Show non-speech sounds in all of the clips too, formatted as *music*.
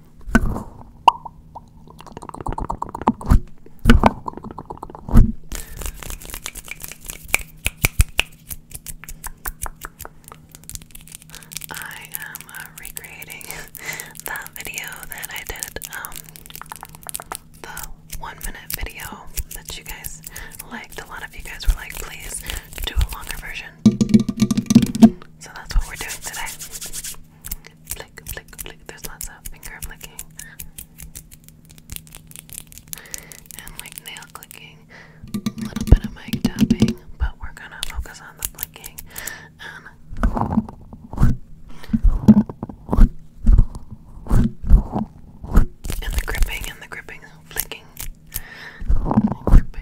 I am uh, recreating *laughs* that video that I did, um, the one minute video that you guys liked. A lot of you guys were like, please do a longer version. So that's what we're doing today flick, flick, flick. There's lots of finger flicking and like nail clicking, a little bit of mic tapping, but we're gonna focus on the flicking and the gripping and the gripping, flicking, gripping.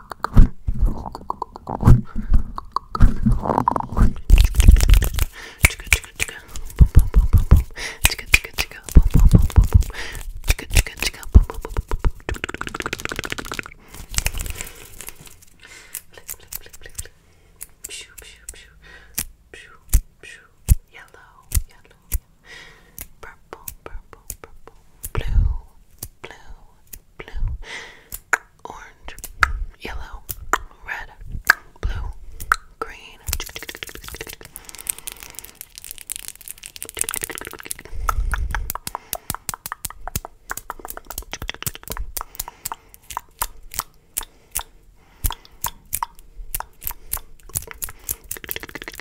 Yellow, yellow, purple, purple, purple, blue, blue, blue, orange, yellow, red, blue, green.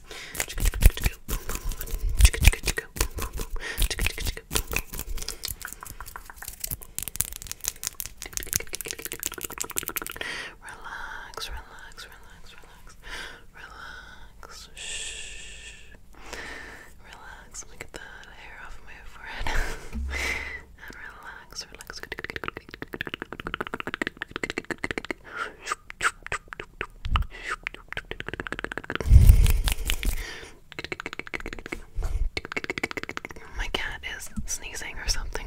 Relax, relax, relax, relax, relax. Shh. Relax. Let me get the hair off my forehead. and *laughs* relax, relax. My cat is sneezing or something.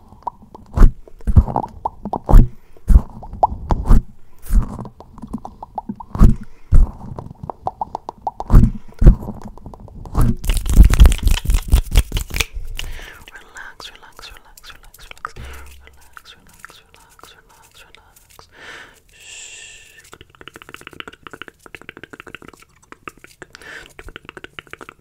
Relax, relax, relax, relax, relax, relax, relax, relax, relax, relax. Shh.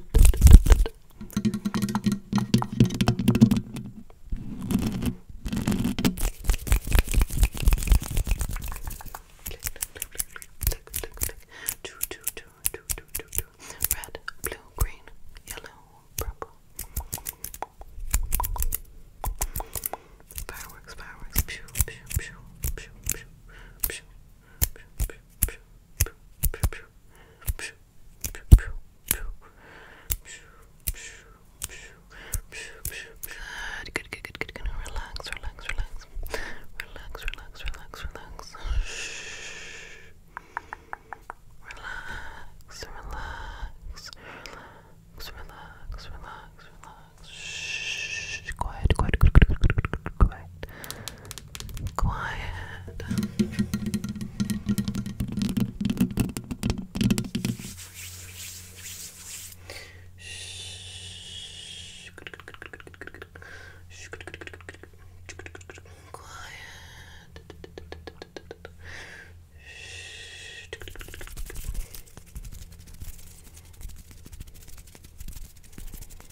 Red, blue, green, yellow, purple. Fireworks, fireworks. Pew, pew, pew, pew, pew, pew, pew, pew, pew, pew, Good, good, good, good, good. Relax, relax, relax. Relax, relax, relax, relax. Relax, relax, relax, relax, relax, relax. Shh. Quiet, quiet, quiet, quiet, quiet, quiet, quiet quiet. Shh. Shh. Quiet. Shh.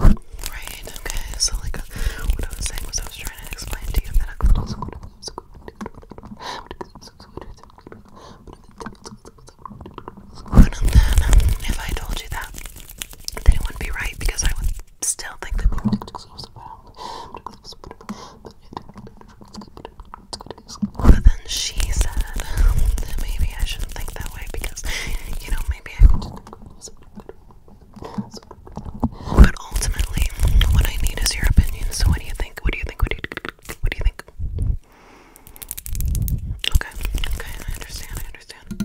Right, okay, so like what I was saying was I was trying to explain to you that one of them, if I told you that, then it wouldn't be right because I would still think that but then she said that maybe I shouldn't think that way because, you know, maybe I could just but ultimately, what I need is your opinion. So, what do you think? What do you think? What do you, think? Okay, okay, I understand. I understand.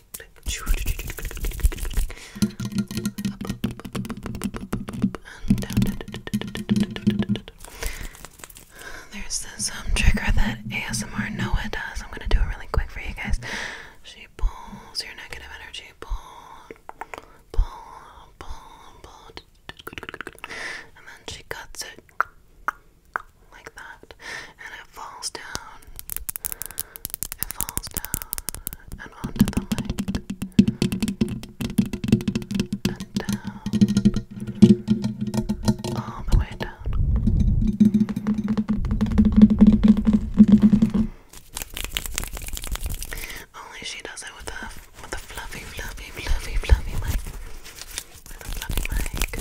There's this um trigger that ASMR Noah does. I'm gonna do it really quick for you guys. She pulls your negative energy. Pull, pull, pull, pull, and then she cuts it like that, and it falls down it falls down and onto the lake and down, all the way down. Only she does it with a with a fluffy, fluffy, fluffy, fluffy mic. With a fluffy mic.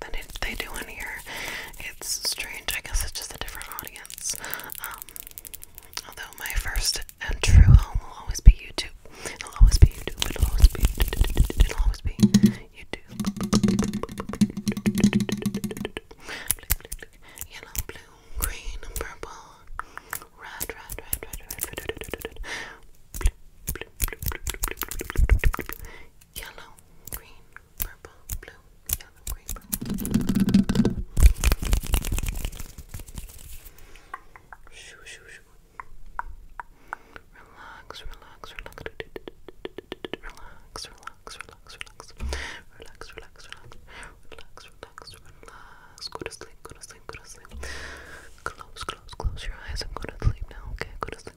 than they do on here. It's strange. I guess it's just a different audience. although my first true home will always be YouTube. It'll always be YouTube. It'll always be. It'll always be YouTube. Yellow, blue, green, purple, red, red, red, red, red, yellow, green, purple, blue, yellow, green, purple. Shoo, shoo, shoo. Relax, relax, relax. Relax, relax, relax, relax. Relax, relax, relax. Relax, relax, relax. Go to sleep, go to sleep, go to sleep. Close, close, close your eyes and go to sleep now, okay? Go to sleep,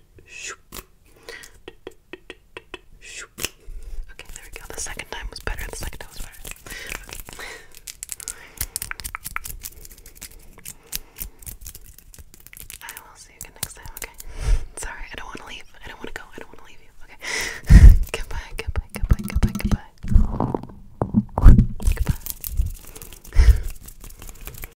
Okay, there we go. The second time was better. The second time was better. I will see you next time, okay? Sorry, I don't want to leave. I don't want to go. I don't want to leave you, okay? *laughs* goodbye, goodbye, goodbye, goodbye, goodbye. Goodbye.